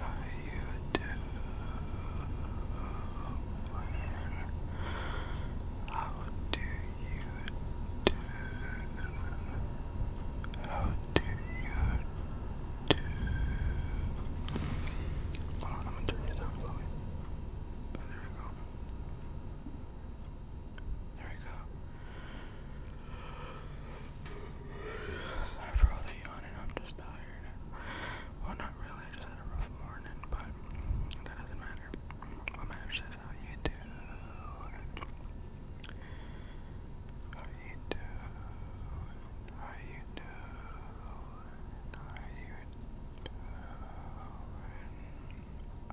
How do you do? How do you do? Hold on, I'm gonna turn it down slowly. there we go. There we go. Sorry for all the yawning, I'm just dying. Well, not really, I just had a rough morning, but that doesn't matter. What matters is how you do. How you do. How you do. How you do.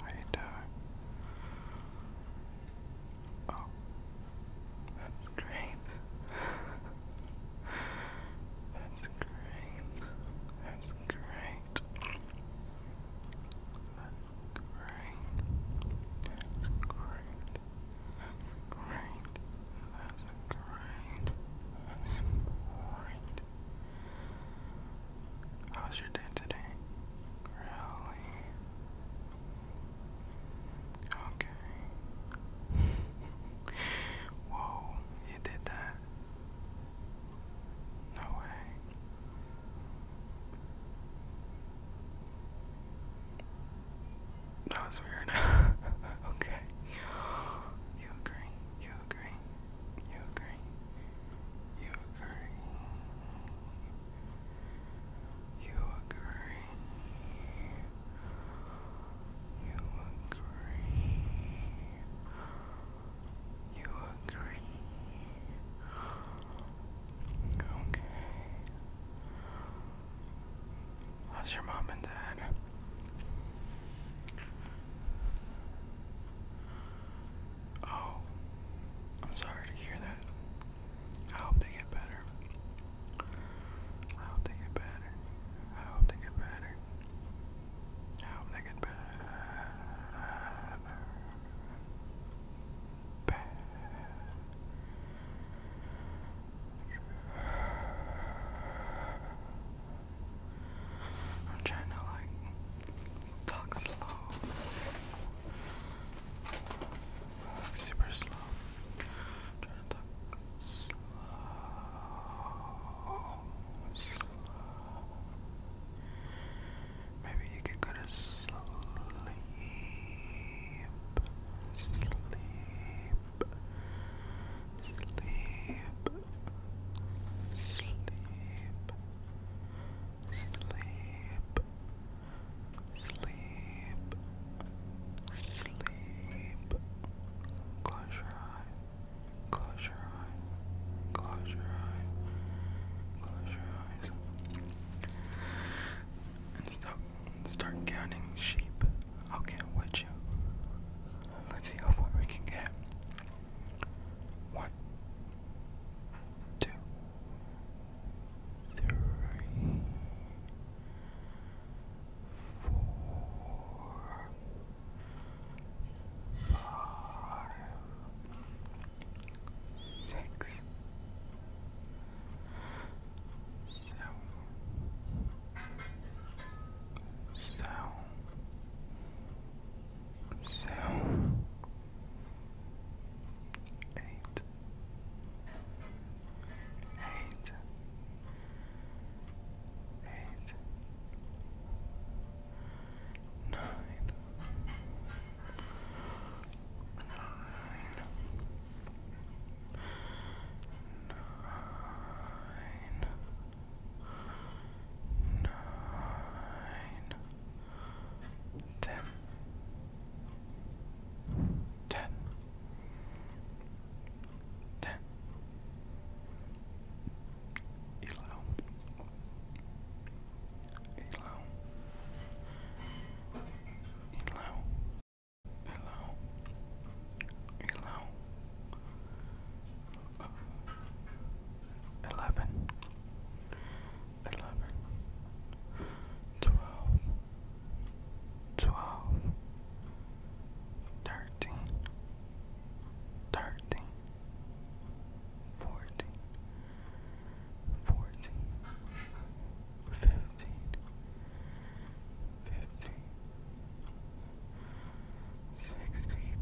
How you do. That's great. That's great. That's great. That's great. That's great. That's great. That's great. That's great. How's your day today? Really? Okay. Whoa, you did that. No way. That was weird. okay. You agree. You agree. You agree. You agree. You agree. You agree. You agree. Okay. How's your mom and dad? Oh, I'm sorry to hear that. I hope they get better. I hope they get better. I hope they get better. I hope they get better. better. I'm trying to like talk slow super slow. I'm slow, Maybe you could go to sleep, sleep, sleep, sleep, sleep Sleep. Sleep. Close your eye. Close your eye. Close your eye. Close your eyes. And stop. Start counting sheep. I'll you. Let's see how far we can get. One, two, three, four, five, six, seven, seven, seven, eight hate. Hate. Eight. Nine. Nine. Nine. Nine. Ten. Ten. Elo, Elo, Elo, Elo, Elo, eleven, eleven, twelve, twelve, thirteen, thirteen, fourteen, fourteen, fifteen, fifteen, sixteen. 16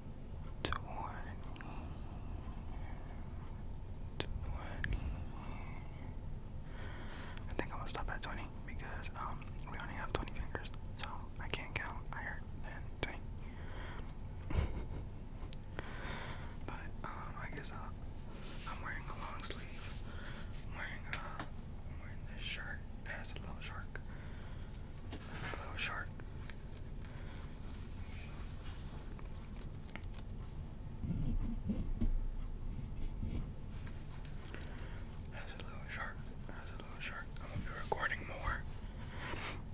twenty, twenty. I think I'm gonna stop at twenty because um we only have twenty fingers, so I can't count higher than twenty. but um, I guess i I'm wearing a long sleeve. wearing a, uh, wearing this shirt. It a little shark. Hello, shark. That's a little shark. That's a little shark. I'm gonna be recording more.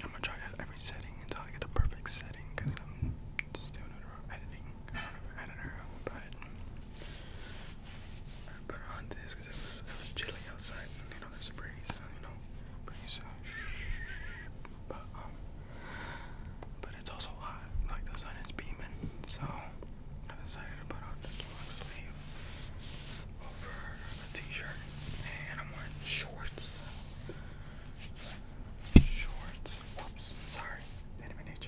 I'm gonna try out every setting until I get the perfect setting because I'm still not editing. I don't have an editor, but I put it on this because it was, it was chilly outside know a pretty you know, pretty uh, But um, but it's also hot. Like the sun is beaming, so I decided to put on this long sleeve over a t-shirt, and I'm wearing shorts. Shorts. Whoops. Sorry. Didn't even hit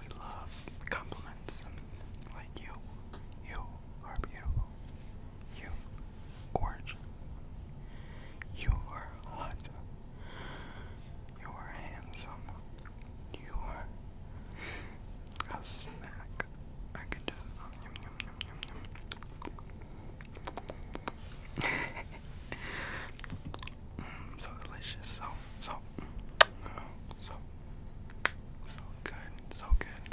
We love compliments and like you. You are beautiful. You gorgeous. You are hot. You are handsome. You are a snack. I could just yum yum yum yum. Mm, so delicious, so so so so good, so good.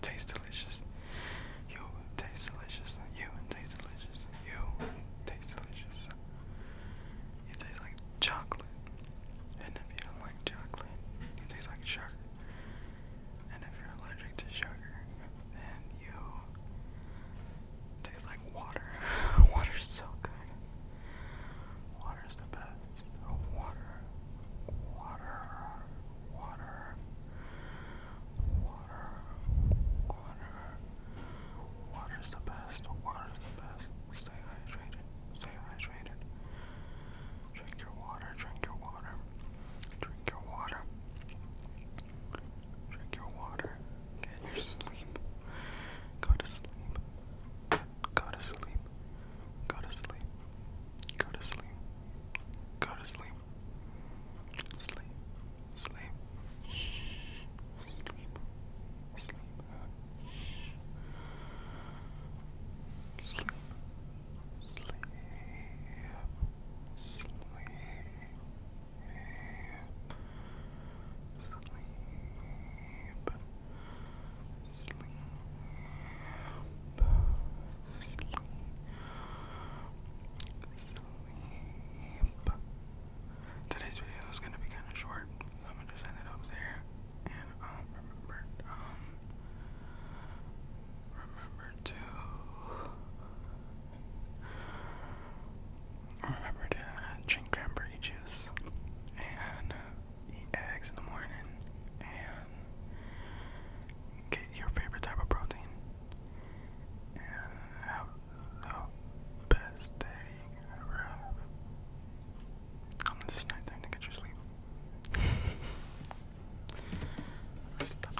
Tastes delicious. You taste delicious. You taste delicious. You taste delicious. It tastes like chocolate. And if you don't like chocolate, it tastes like sugar. And if you're allergic to sugar, then you tastes like water. Water's so good. Water's the best. Water, water, water, water, water. Water's the best. Water's the best. Stay hydrated. Stay hydrated. Drink your water. Drink your water. Drink your water. Drink your water. Get your sleep. Go to sleep. Go to sleep. Go to sleep. Go to sleep. Go to sleep. Sleep. Sleep. Shh. Sleep. Sleep. Shh. Sleep. Sleep. Sleep. Sleep sleep. Today's video is gonna be kind of short. I'm gonna just it up there, and um, remember, um, remember to. Remember to drink cranberry juice and uh, eat eggs in the morning and get your favorite type of protein. And have the best day ever. I'm just night time to get your sleep.